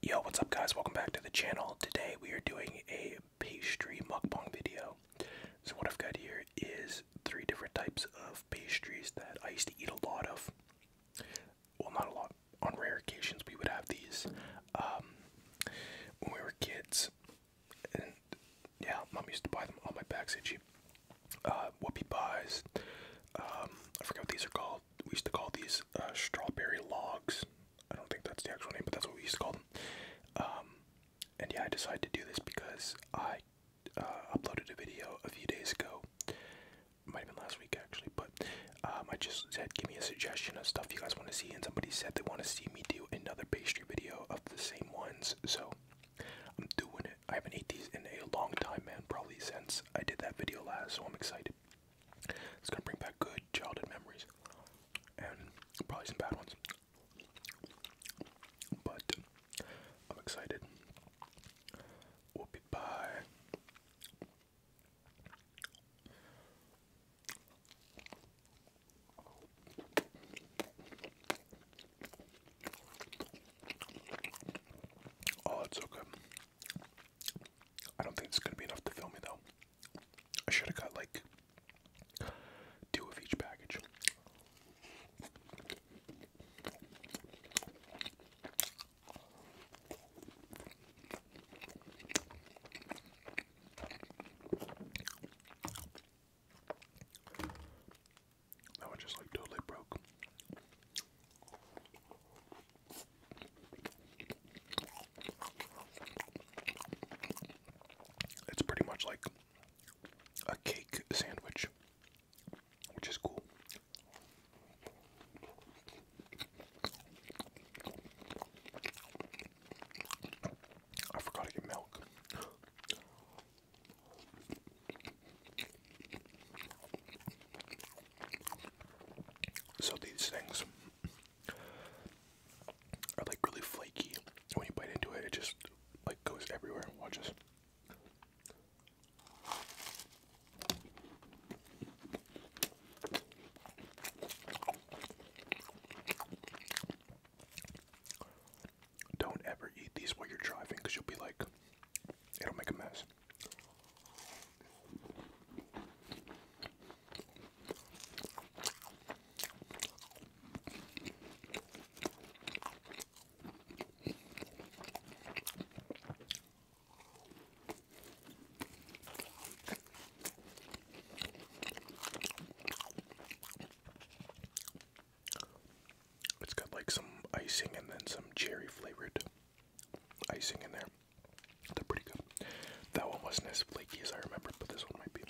Yo, what's up guys? Welcome back to the channel. Today we are doing a pastry mukbang video. So what I've got here is three different types of pastries that I used to eat a lot of. Well, not a lot. On rare occasions we would have these um, when we were kids. And yeah, mom used to buy them on my back, So cheap Uh, whoopie pies. Um, I forget what these are called we used to call these uh, strawberry logs. I don't think that's the actual name, but that's what we used to call them. Um, and yeah, I decided to do this because I uh, uploaded a video a few days ago. might have been last week actually, but um, I just said give me a suggestion of stuff you guys want to see, and somebody said they want to see me do another pastry video of the same ones. So I'm doing it. I haven't ate these in a long time, man. Probably since I did that video last, so I'm excited. It's gonna bring back good childhood memories and probably some bad ones. But I'm excited. We'll Oh, it's so good. I don't think it's gonna be enough to fill me though. I should have got like two of each package. That one just like totally broke. It's pretty much like a cake sandwich, which is cool. I forgot to get milk. So these things are like really flaky. When you bite into it, it just like goes everywhere. Watch this. Don't ever eat these while you're driving because you'll be like, it'll make a mess. It's got like some icing and then some cherry flavored icing in there. They're pretty good. That one wasn't as flaky as I remember, but this one might be.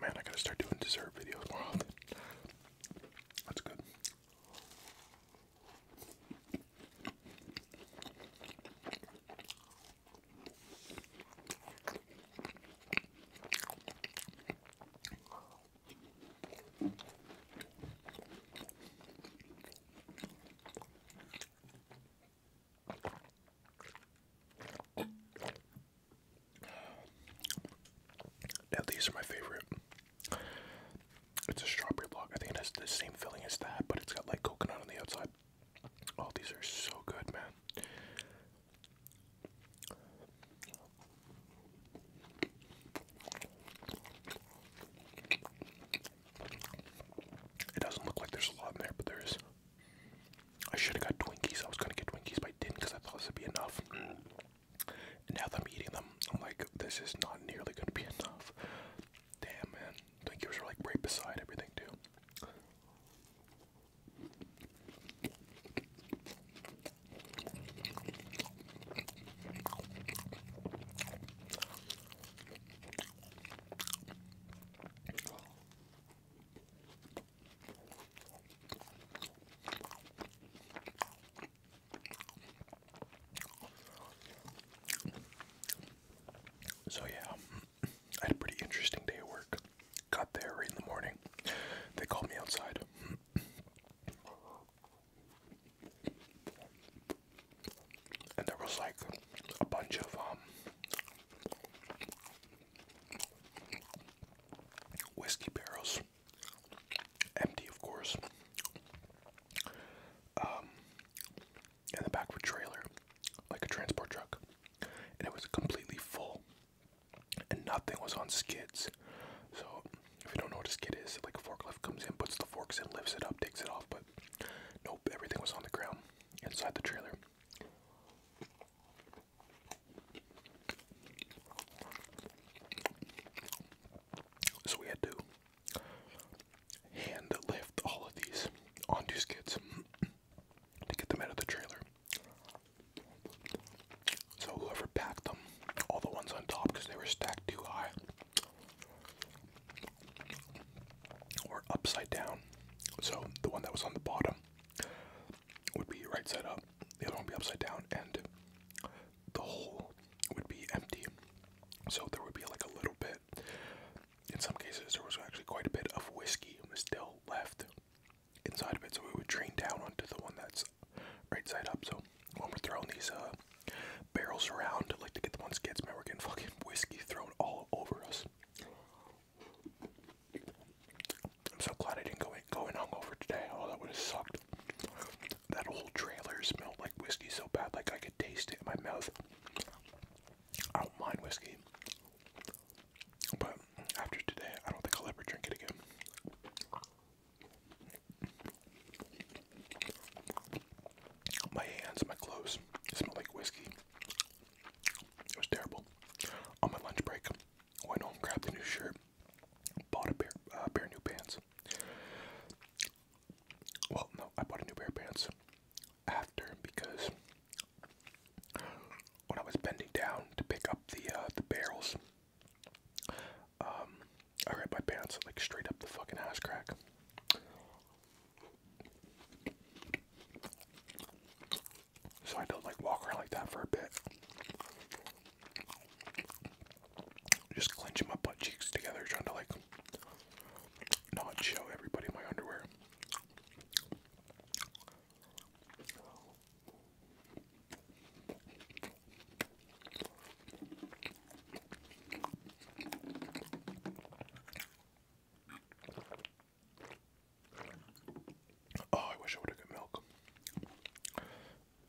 Man, I gotta start doing dessert videos more That's good. Now these are my favorite. It's a strawberry log. I think it has the same filling as that, but it's got like coconut on the outside. Oh, these are so good, man. It doesn't look like there's a lot in there, but there is. I should have got Twinkies. I was gonna get Twinkies, but I didn't because I thought this would be enough. Mm now that I'm eating them, I'm like, this is not nearly gonna be enough. Damn, man. Like yours are like right beside everything, too. So, yeah, um, I had a pretty interesting day at work. Got there in the morning. They called me outside. And there was like a bunch of um, whiskey barrels empty, of course. Um, and the back of a trailer, like a transport truck, and it was completely full, and nothing was on skids. So, if you don't know what a skid is, like a forklift comes in, puts the forks in, lifts it up, takes it off, but nope, everything was on the ground inside the trailer. So we had to hand lift all of these onto skids to get them out of the trailer. So whoever packed them, all the ones on top because they were stacked too high or upside down. So the one that was on the bottom would be right side up, the other one be upside down, and the hole would be empty. So there would be like a little bit, in some cases, there was actually quite a bit of whiskey still left inside of it, so we would drain down onto the one that's right side up. So when we're throwing these uh, barrels around, like to get the ones kids, man, we're getting fucking whiskey thrown all over us. I'm so glad I didn't go in, go hungover today. Oh, that would have sucked. That whole trailer smelled like whiskey so bad, like I could taste it in my mouth. I don't mind whiskey, but after today, I don't think I'll ever drink it again. My hands, my clothes smell like whiskey. It was terrible. On my lunch break, Went home, grabbed a new shirt, bought a pair, uh, pair of new pants. Well, no, I bought a new pair of pants after because when I was bending down to pick up the uh, the barrels, um, I ripped my pants like straight up the fucking ass crack. So I had to like walk around like that for a bit. Just clenching my butt cheeks together, trying to like not show everybody my underwear. Oh, I wish I would have got milk.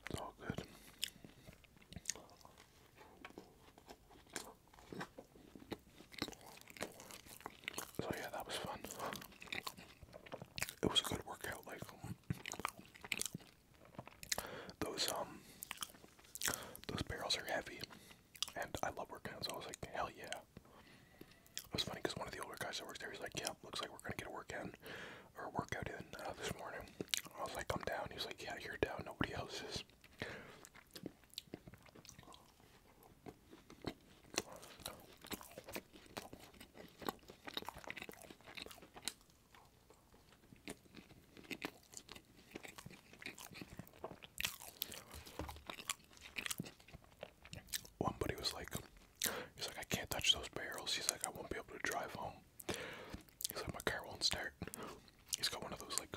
It's good. So yeah, that was fun. It was a good workout, like those um those barrels are heavy and I love working so I was like, hell yeah. It was funny because one of the older guys that works there, he's like, "Yeah, looks like we're gonna get a work in or workout in uh, this morning." I was like, "Come down." He was like, "Yeah, you're down. Nobody else is." One buddy was like, He's like, I can't touch those barrels. He's like, I won't be able to drive home. He's like, my car won't start. He's got one of those like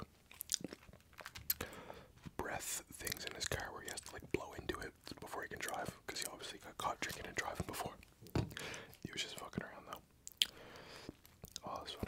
breath things in his car where he has to like blow into it before he can drive because he obviously got caught drinking and driving before. He was just fucking around though. Oh, that's funny.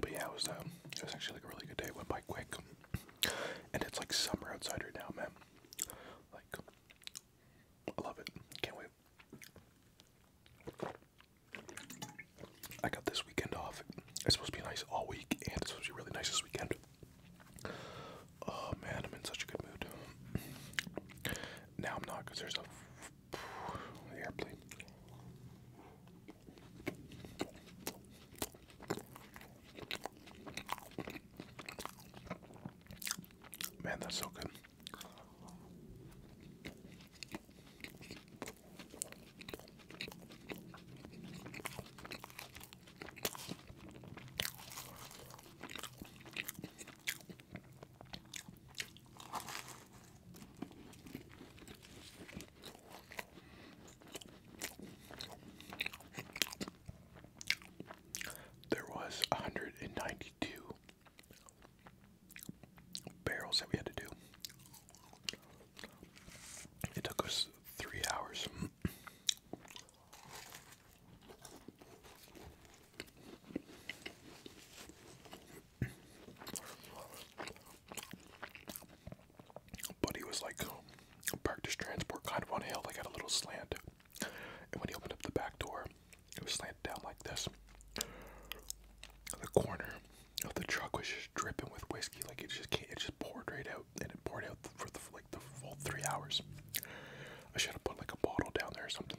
But yeah, it was um, it was actually like a really good day. went by quick, and it's like summer outside right now, man. Like, I love it. Can't wait. I got this weekend off. It's supposed to be nice all week, and it's supposed to be really nice this weekend. Oh man, I'm in such a good mood. Now I'm not because there's a the airplane. Man, that's so good. There was 192 barrels that we had to do. It took us three hours. But he was like parked his transport kind of on a hill, like had a little slant. And when he opened up the back door, it was slanted down like this. The corner of the truck was just dripping with whiskey, like it just can't, it just poured right out, and it poured out for the, like the full three hours. I should have put like a bottle down there or something.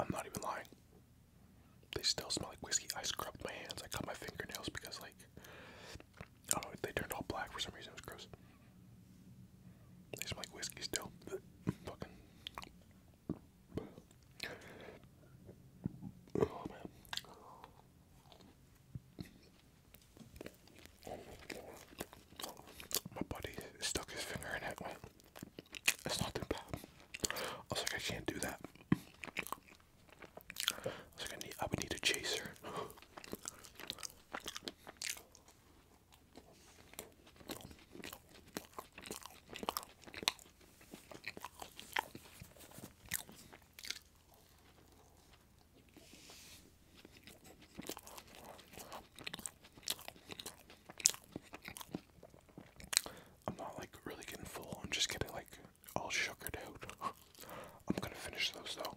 I'm not even lying. They still smell like whiskey. I scrubbed my hands. I cut my fingernails because, like, I don't know, they turned all black for some reason, it was gross. They smell like whiskey still. Fucking. Oh man. My buddy stuck his finger in it. it's not that bad. I was like, I can't do that. I, I would need a chaser. I'm not like really getting full. I'm just getting like all sugared out. I'm gonna finish those though.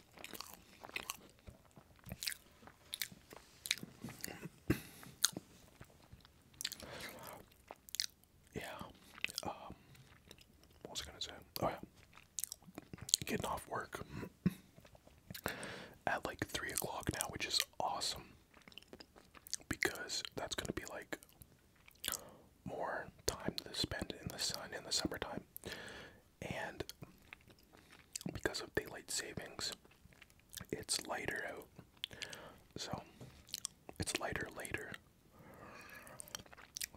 yeah. Um, what was I gonna say? Oh yeah, getting off work at like three o'clock now, which is awesome because that's gonna be like more time to spend in the sun in the summertime and because of daylight savings, it's lighter out. So it's lighter later.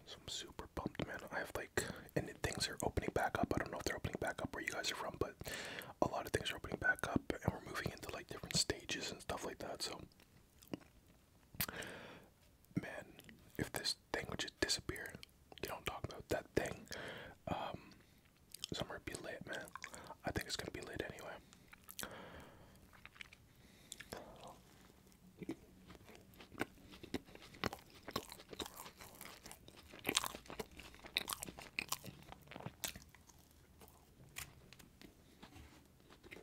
So I'm super pumped, man. I have like, and things are opening back up. I don't know if they're opening back up where you guys are from, but a lot of things are opening back up, and we're moving into like different stages and stuff like that. So man, if this thing would just disappear, you don't talk about that thing, um, summer would be late, man. I think it's gonna be late anyway.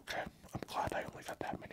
Okay, I'm glad I only got that many.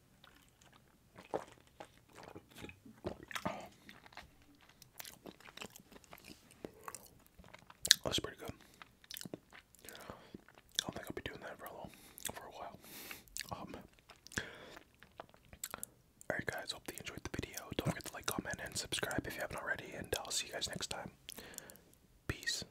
Oh, that's pretty good. I don't think I'll be doing that for a while. Um, alright, guys. Hope you enjoyed the video. Don't forget to like, comment, and subscribe if you haven't already. And I'll see you guys next time. Peace.